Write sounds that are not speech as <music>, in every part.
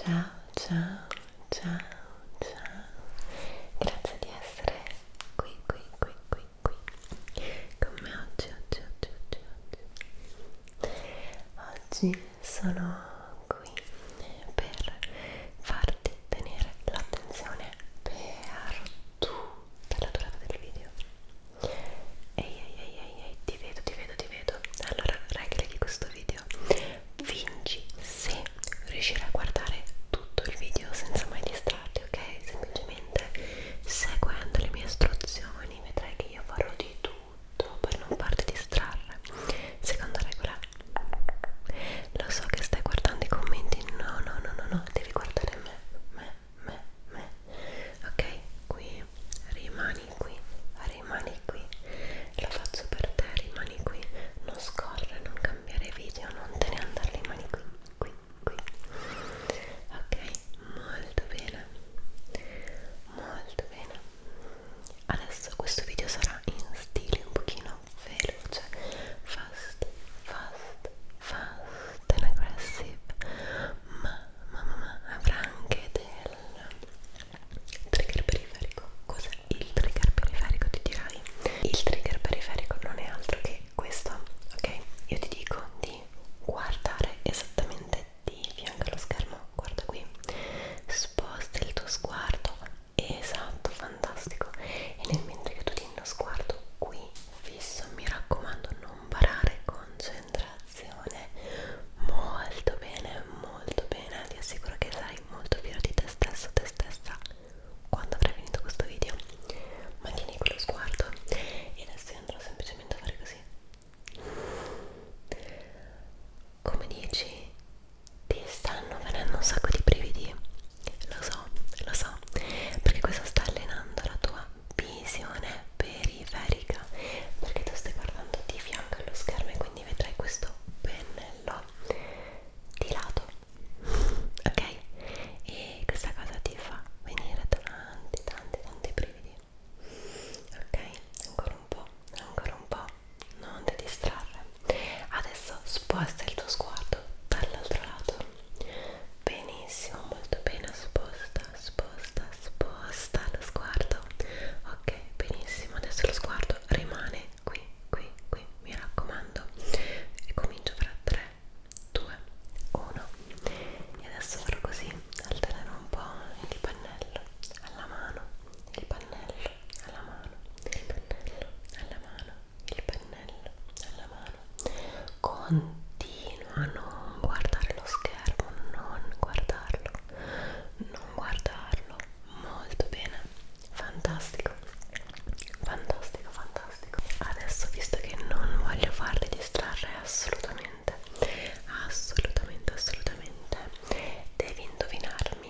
Ciao, ciao, ciao, ciao. Grazie di essere qui, qui, qui, qui, qui. Con me oggi, oggi, oggi, oggi, oggi. Oggi sono con qui per farti tenere l'attenzione per tutta la durata del video ehi ehi ehi ehi ehi ti vedo ti vedo ti vedo allora regole di questo video vinci se riuscirai a guardare tutto il video senza mai distrarti ok semplicemente seguendo le mie istruzioni vedrai che io farò di tutto per non farti distrarre seconda regola lo so che stai guardando i commenti, no, no, no, no, no, devi guardare me, me, me, me. Ok, qui, rimani qui, rimani qui. Lo faccio per te, rimani qui. Non scorre, non cambiare video, non te ne andare, rimani qui, qui, qui. Ok, molto bene, molto bene. Adesso questo video sarà in stile un pochino veloce fast, fast, fast and aggressive ma, ma, ma, ma avrà anche del trigger periferico cos'è il trigger periferico ti dirai? il trigger periferico non è altro che questo ok? io ti dico di guardare esattamente di fianco allo schermo guarda qui sposta il tuo sguardo esatto fantastico e nel mentre che tu tieni lo sguardo qui fisso mi raccomando non barare concentrazione molto bene molto bene ti assicuro che sarai molto fiero di te stesso te stessa quando avrai finito questo video mantieni quello sguardo e adesso io andrò semplicemente a fare così come dici ti stanno venendo un sacco di brividi lo so, lo so perché questo sta allenando la tua visione periferica perché tu stai guardando di fianco allo schermo e quindi vedrai questo pennello di lato <laughs> ok? e questa cosa ti fa venire tanti tanti tanti brividi ok? ancora un po', ancora un po' non ti distrarre adesso sposta il tuo sguardo dall'altro lato benissimo molto bene sposta sposta sposta lo sguardo ok benissimo adesso lo sguardo rimane qui qui qui mi raccomando e comincio fra 3 2 1 e adesso farò così altererò un po' il pannello alla mano il pannello alla mano, il pennello alla mano, il pennello alla mano. Continua a non guardare lo schermo, non guardarlo, non guardarlo. Molto bene, fantastico, fantastico, fantastico. Adesso, visto che non voglio farli distrarre assolutamente, assolutamente, assolutamente, devi indovinarmi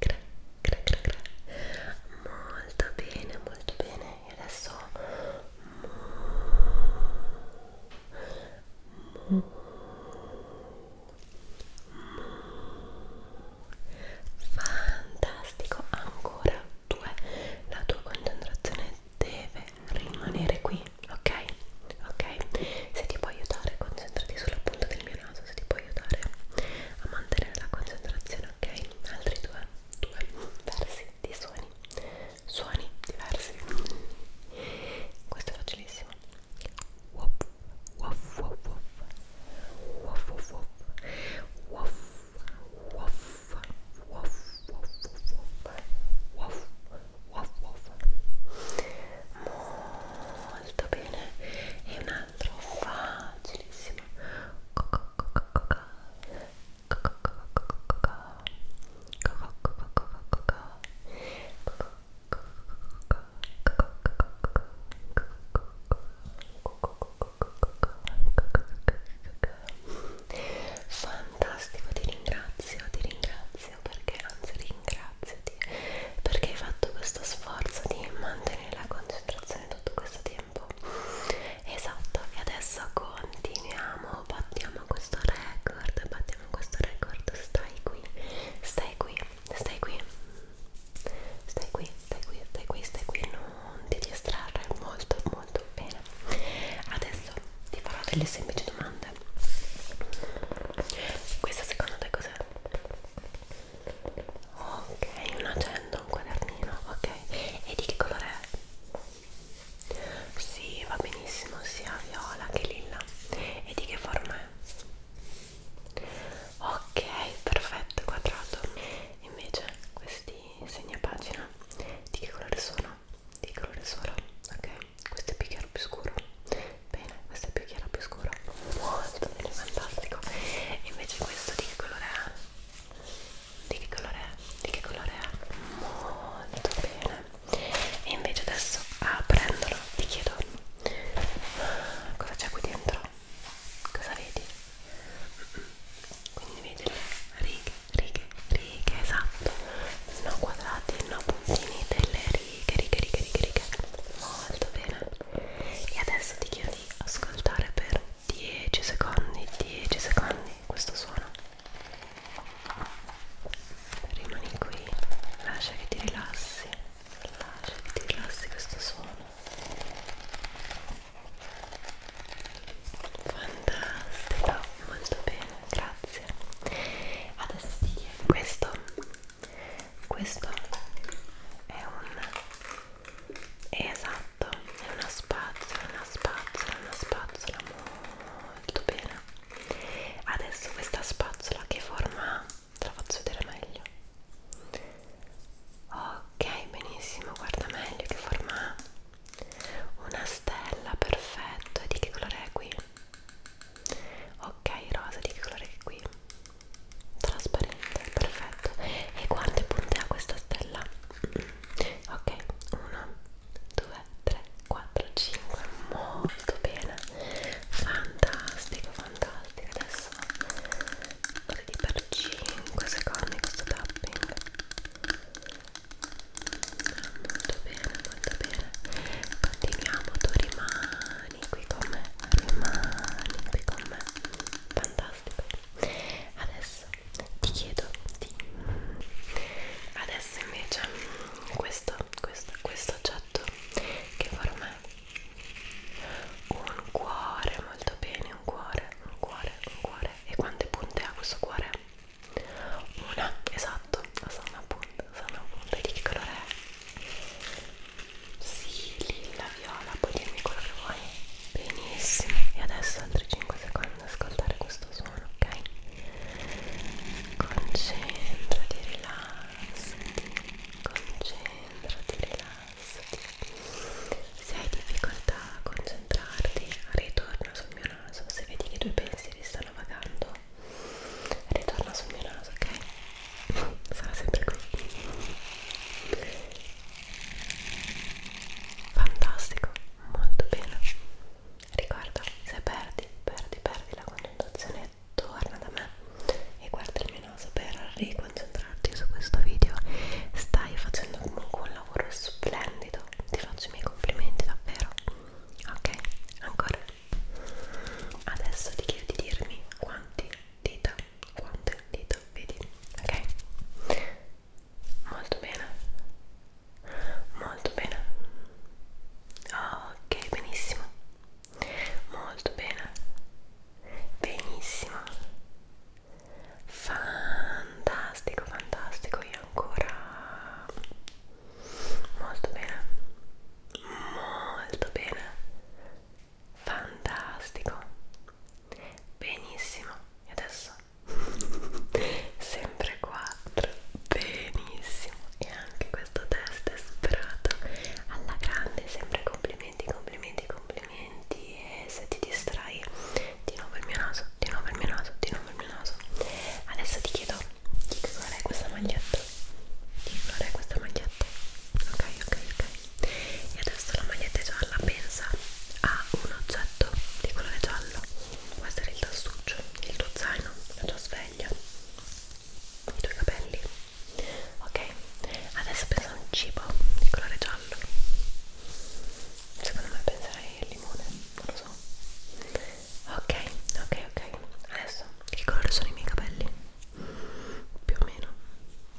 cra, cra, cra, cra. molto bene molto bene e adesso mu, mu, mu. fantastico ancora due la tua concentrazione deve rimanere qui ok ok se ti può aiutare concentrati sulla punta del mio naso se ti può aiutare a mantenere la concentrazione, ok? Altri due, due versi di suoni, suoni diversi. Questo è facilissimo. Woof, woof, woof, woof, woof, woof, woof, woof, woof, woof, woof, woof, molto bene e un altro facilissimo fantastico ti ringrazio ti ringrazio perché anzi ringrazio ringraziati perché hai fatto questo sforzo di mantenere la concentrazione tutto questo tempo esatto e adesso continuiamo battiamo questo record battiamo questo record stai qui stai qui stai qui stai qui stai qui stai qui stai qui non ti distrarre molto molto bene adesso ti farò delle semplici domande questa secondo te cos'è? ok una agenda un quadernino ok e di che colore è? Sì, va benissimo sia viola che lilla e di che forma è? ok perfetto quadrato invece questi segnapagina di che colore sono? di che colore sono? ok questo è più chiaro più scuro bene, questa è più chiara, più scura molto bene, fantastico e invece questo di che colore è? di che colore è? di che colore è? molto bene e invece adesso aprendolo ah, ti chiedo cosa c'è qui dentro? cosa vedi? quindi vedi le righe, righe, righe, esatto no quadrati, no puntini delle righe, righe, righe, righe, righe molto bene e adesso ti chiedo di ascoltare per 10 secondi 10 secondi questo suono rimani qui lascia che ti rilassi lascia che ti rilassi questo suono fantastico molto bene grazie adesso ti chiedo questo questo è un esatto è una spazzola una spazzola una spazzola molto bene adesso questa spazzola che forma te la faccio vedere meglio ok benissimo guarda meglio che forma ha una stella perfetto e di che colore è qui ok rosa di che colore è qui trasparente perfetto e guarda e puntea questa stella ok 1 2 3 4 5 molto bene fantastico fantastico adesso vedi per 5 secondi questo tapping molto bene molto bene continuiamo tu rimani animali qui con me animali qui con me fantastico adesso ti chiedo di adesso invece questo questo questo oggetto che forma è un cuore molto bene un cuore un cuore un cuore e quante punte ha questo cuore una esatto sono una punta sono una punta di che colore è sì, lilla, viola, puoi dirmi quello che vuoi. Benissimo. E adesso altri 5 secondi ascoltare questo suono, ok? Concentrati, rilassati. Concentrati, rilassati. Se hai difficoltà a concentrarti, ritorna sul mio naso. Se vedi che i tuoi pensieri stanno vagando, ritorna sul mio naso, ok? sarà sempre qui fantastico molto bene ricorda se perdi perdi perdi la concentrazione torna da me e guarda il mio naso per riconcentrarti su questo video stai facendo comunque un lavoro splendido ti faccio i miei complimenti davvero ok ancora adesso ti chiedo di dirmi quanti dita, quante dita, vedi? Ok? Molto bene, molto bene. Ok, benissimo. Molto bene. Benissimo. Fantastico, fantastico. E ancora molto bene. Molto bene fantastico benissimo e adesso <laughs> sempre 4 benissimo e anche questo test è superato alla grande sempre complimenti complimenti complimenti e se ti distrai di nuovo il mio naso di nuovo il mio naso di nuovo il mio naso adesso ti chiedo di colore è questa maglietta di fare questa maglietta ok ok ok e adesso la maglietta gialla pensa a un oggetto di colore giallo può essere il tassuccio il tuo zaino la tua sveglia i tuoi capelli ok adesso pensa a un cibo di colore giallo secondo me penserei al limone non lo so ok ok ok adesso che colore sono i miei capelli più o meno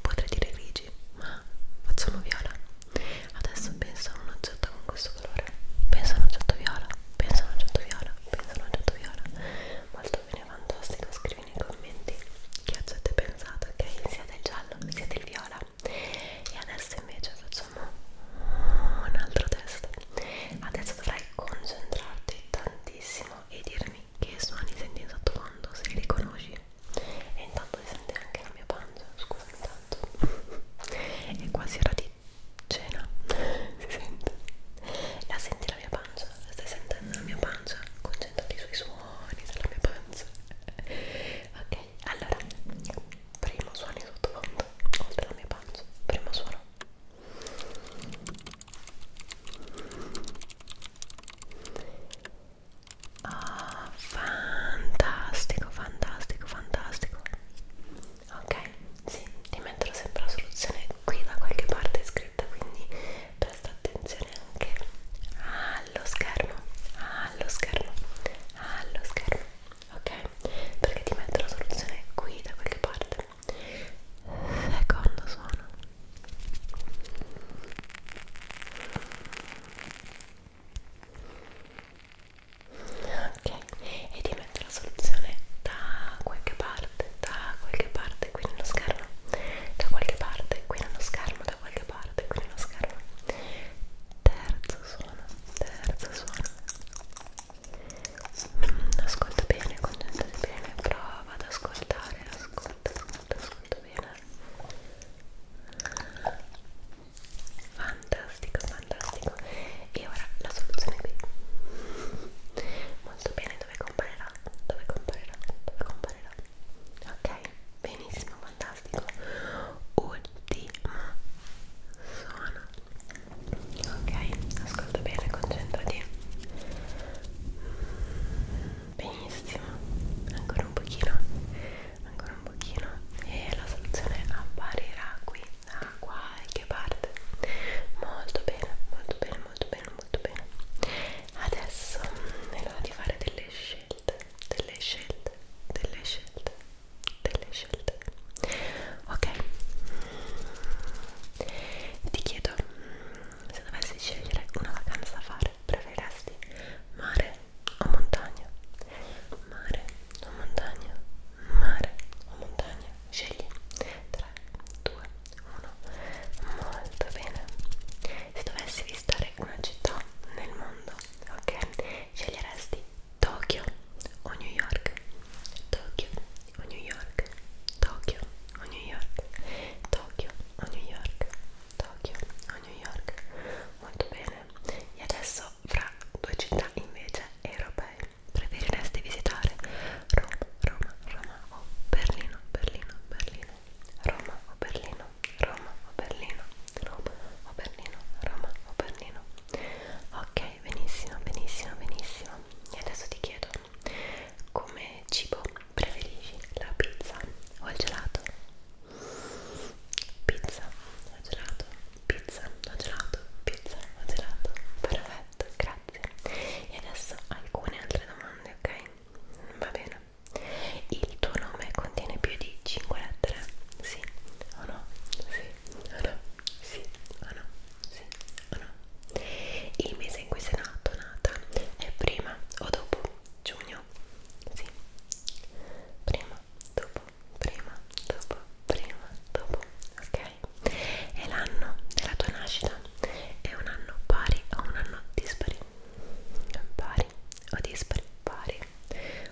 potrei dire grigi ma facciamo viola adesso penso a un oggetto con questo colore penso a un oggetto viola penso a un oggetto viola penso a un oggetto viola molto bene fantastico scrivi nei commenti che oggetto hai pensato ok sia del giallo sia del viola e adesso invece facciamo un altro test adesso dovrai concentrarti tantissimo e dirmi che suoni senti in sottofondo se li riconosci e intanto si sente anche la mia pancia scusa intanto è quasi ora di cena si sente la senti la mia pancia la stai sentendo la mia pancia concentrati sui suoni della mia pancia ok allora primo suoni sottofondo oltre alla mia pancia primo suono Oh, fantastico, fantastico, fantastico. Ok, sì, ti metterò sempre la soluzione qui da qualche parte scritta, quindi presta attenzione anche allo schermo, allo schermo, allo schermo, ok? Perché ti metto la soluzione qui da qualche parte. Secondo suono ok e ti metto la soluzione da qualche parte da qualche parte qui nello schermo da qualche parte qui nello schermo da qualche parte qui nello schermo terzo suono terzo suono mm, ascolta bene concentrati bene prova ad ascoltare ascolta ascolta, ascolta, ascolta bene fantastico, fantastico e ora la soluzione è qui molto bene, dove comparerà? dove comparerà? dove comparerà? ok, benissimo, fantastico ultima suono ok, ascolta bene, concentrati benissimo ancora un pochino ancora un pochino e la soluzione apparirà qui da qualche parte molto bene molto bene molto bene molto bene adesso è l'ora di fare delle scelte delle scelte delle scelte delle scelte ok ti chiedo se dovessi scegliere una vacanza da fare, preferiresti mare o montagna? Mare o montagna? Mare o montagna? Scegli 3, 2, 1. Molto bene. Se dovessi visitare una città nel mondo, ok? Sceglieresti Tokyo o New York? Tokyo o New York? Tokyo o New York? Tokyo a New York, Tokyo a New York, molto bene. E adesso fra due città invece europee preferiresti visitare Roma, Roma, Roma o Berlino, Berlino, Berlino, Roma o Berlino, Roma o Berlino, Roma o Berlino, Roma o Berlino. Ok, benissimo, benissimo, benissimo. E adesso ti chiedo come cibo Preferisci la pizza o il gelato? Pizza o gelato? Pizza o gelato? Pizza o gelato? Perfetto, grazie. E adesso alcune altre domande, ok? Va bene. Il tuo nome contiene più di 5 lettere? Sì o no? Sì o no? Sì o no? Sì o no? Il mese in cui sei nato, nata, è prima o dopo giugno? Sì. Prima, dopo, prima, dopo, prima, dopo, ok? E l'anno della tua nascita è un anno pari o un anno dispari? Pari o dispari? Pari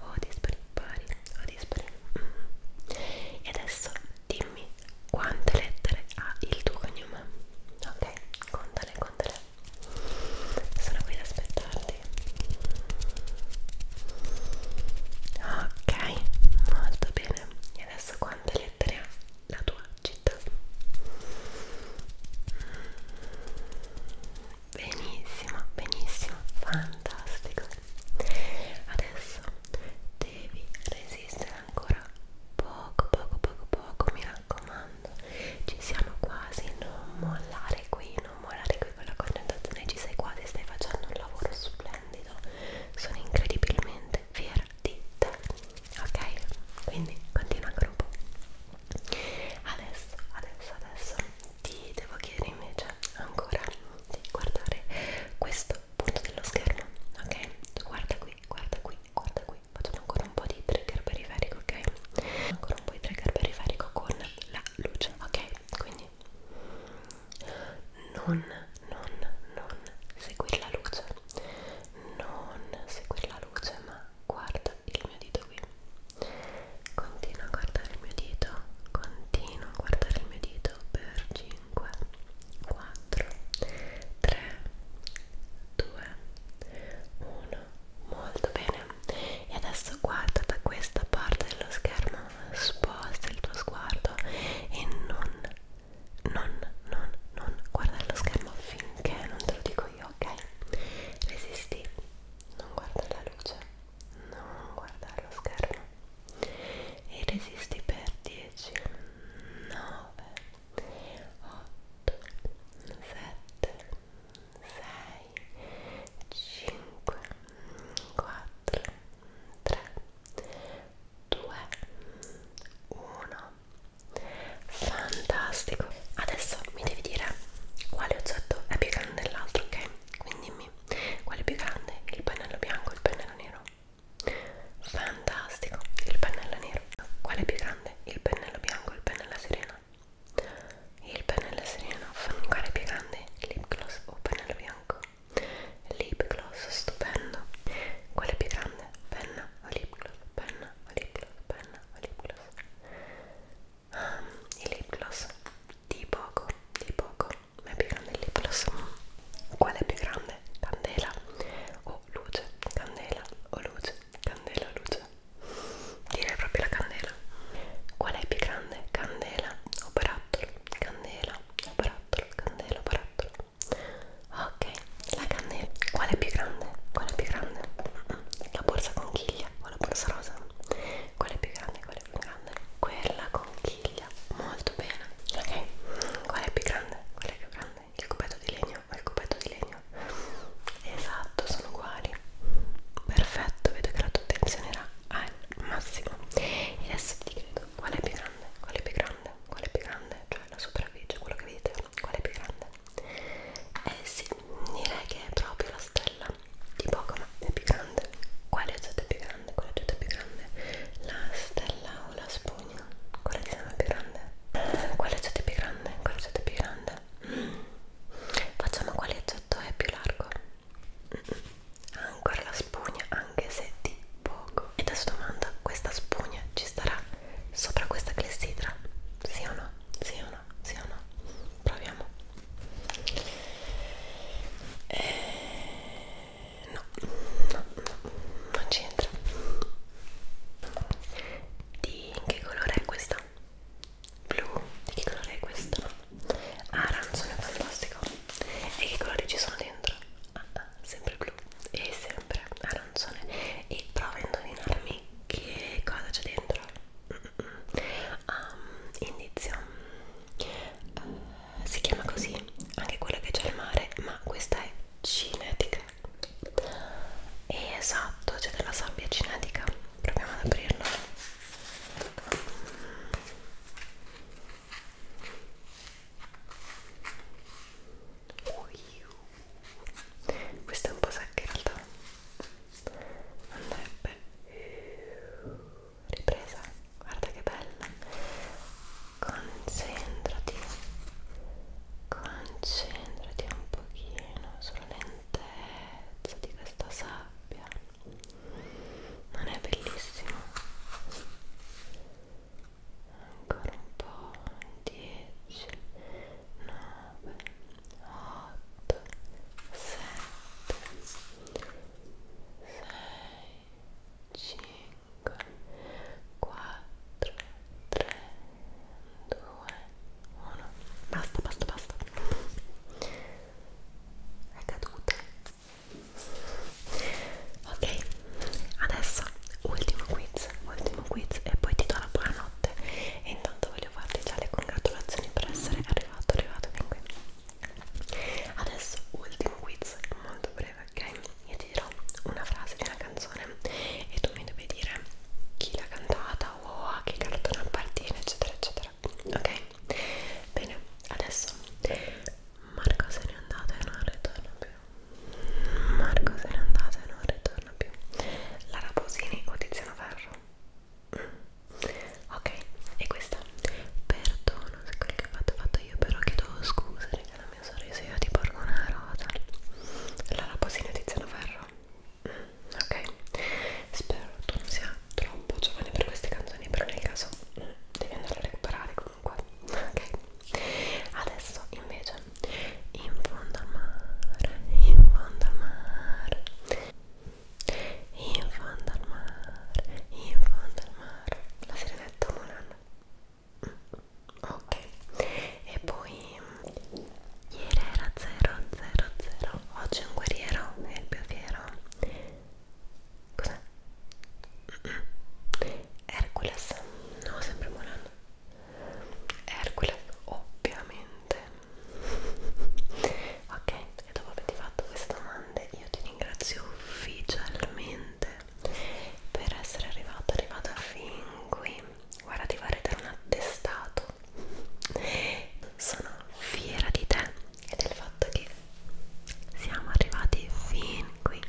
o dispari? Pari o dispari? Mm. E adesso dimmi quante lettere ha il tuo cognome, ok? Conta le condole sono qui ad aspettarti ok molto bene e adesso quante lettere ha la tua città benissimo benissimo fantastico adesso devi resistere ancora poco poco poco poco mi raccomando ci siamo quasi non mollare qui non mollare qui con la concentrazione ci sei quasi stai facendo un lavoro splendido sono incredibilmente fiera di te ok quindi continua ancora un po' adesso adesso adesso ti devo chiedere invece ancora di guardare questo punto dello schermo ok guarda qui guarda qui guarda qui qui facciamo ancora un po' di trigger periferico ok ancora un po' di trigger periferico con la luce ok quindi non non non seguire la luce non seguire la luce ma guarda il mio dito qui continua a guardare il mio dito continua a guardare il mio dito per 5 4 3 2 1 2, 1, molto bene. E adesso guarda da questa parte dello schermo, sposta il tuo sguardo e non, non, non, non guardare lo schermo finché non te lo dico io, ok? Resisti, non guarda la luce, non guardare lo schermo e resisti per 10, 9, 8, 7, 6, 5, 4, 3, 2, 1. Fantastico! Adesso mi devi dire quale oggetto è più grande dell'altro, ok? Quindi dimmi quale è più grande, il pennello bianco o il pennello nero? Fantastico, il pennello nero. Quale è più grande? il pennello bianco e il pennello serena il pennello serena fanno un cane piegante lip gloss o pennello bianco lip gloss stupendo quale più grande? penna o lip gloss? penna o lip gloss? penna o lip gloss? Um, ehm, il lip gloss di poco di poco ma è più grande il lip gloss quale è più grande? candela o luce candela o luce Candela, luce. Direi proprio la candela. Qual è più grande? Candela o barattolo? Candela o barattolo? Candela o barattolo? Ok, la candela. Qual è più grande? Qual è più grande? La borsa conchiglia o la borsa rosa? Qual è più grande? Qual è più grande? Quella conchiglia. Molto bene. Ok, qual è più grande? Qual è più grande? Il cubetto di legno o il cubetto di legno esatto sono uguali perfetto vedo che la tua attenzione era al massimo e adesso ti chiedo qual è più grande qual è più grande qual è più grande cioè la superficie quello che vedete qual è più grande eh sì direi che è proprio la stella di Pokémon è più grande quale oggetto è più grande quale oggetto è più grande la stella o la spugna cagna quella di sempre più grande quale accetto è più grande quale accetto è più grande facciamo quale accetto è più largo ancora la spugna anche se di poco e adesso domanda questa spugna ci starà sopra questa clessidra sì o no sì o no sì o no proviamo eh, no, no, no, non c'entra di che colore è questa? Blu, di che colore è questa? Ah, arancione fantastico. E che colori ci sono dentro? Ah, ah, sempre blu e sempre arancione. E prova a indovinarmi che cosa c'è dentro. Mm -mm. Um, mm. indizio. Uh, eh, si chiama così anche quella che c'è al mare, ma questa è cinetica e esatto c'è della sabbia cinetica proviamo ad aprirlo questo è un po' secco in realtà andrebbe ripresa guarda che bella concentrati Concentrati un pochino sulla lentezza di questa sabbia. Non è bellissimo? Ancora un po'. 10, 9, 8, 7, 6, 5, 4, 3, 2, 1, basta, basta, basta. È caduta. Ok, adesso ultimo quiz, ultimo quiz e poi ti do la buonanotte. E intanto voglio farti già le congratulazioni per essere arrivato, arrivato fin qui. Adesso ultimo quiz, molto breve, ok? Io ti dirò una frase di una canzone e tu mi devi dire chi l'ha cantata o a che cartone appartiene eccetera eccetera ok bene adesso Marco se n'è andato e non ritorna più Marco se n'è andato e non ritorna più Lara Posini o Tiziano Ferro mm. ok e questa perdono se quello che ho fatto ho fatto io però chiedo scusa che la mia sorriso io ti porgo una rosa Lara Posini o Tiziano Ferro ok spero tu non sia troppo giovane per queste canzoni però nel caso mm, devi andare a recuperare comunque ok adesso invece in fondo al mare in fondo al mare in fondo al mare in fondo al mare la sirenetta Monan mm ok e poi ieri era 0 0 0 oggi è un guerriero è il pioviero cos'è? Hercules no sempre Moran Hercules ovviamente ok e dopo averti fatto queste domande io ti ringrazio ufficialmente per essere arrivato arrivato fin qui guarda ti vorrei dare un attestato sono fiera di te e del fatto che siamo arrivati fin qui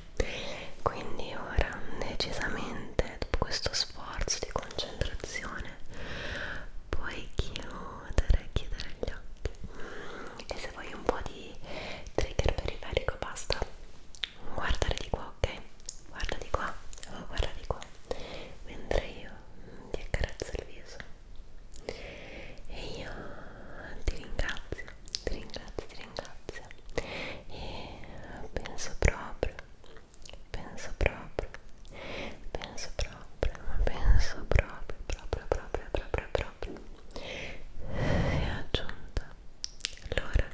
quindi ora decisamente dopo questo sforzo di concentrazione puoi chiudere chiudere gli occhi e se vuoi un po' di trigger periferico basta guardare di qua, ok? Guarda di qua, oh, guarda di qua, mentre io ti accarezzo il viso e io ti ringrazio, ti ringrazio, ti ringrazio e penso proprio, penso proprio, penso proprio, penso proprio, proprio, proprio, proprio, proprio, proprio. è aggiunta l'ora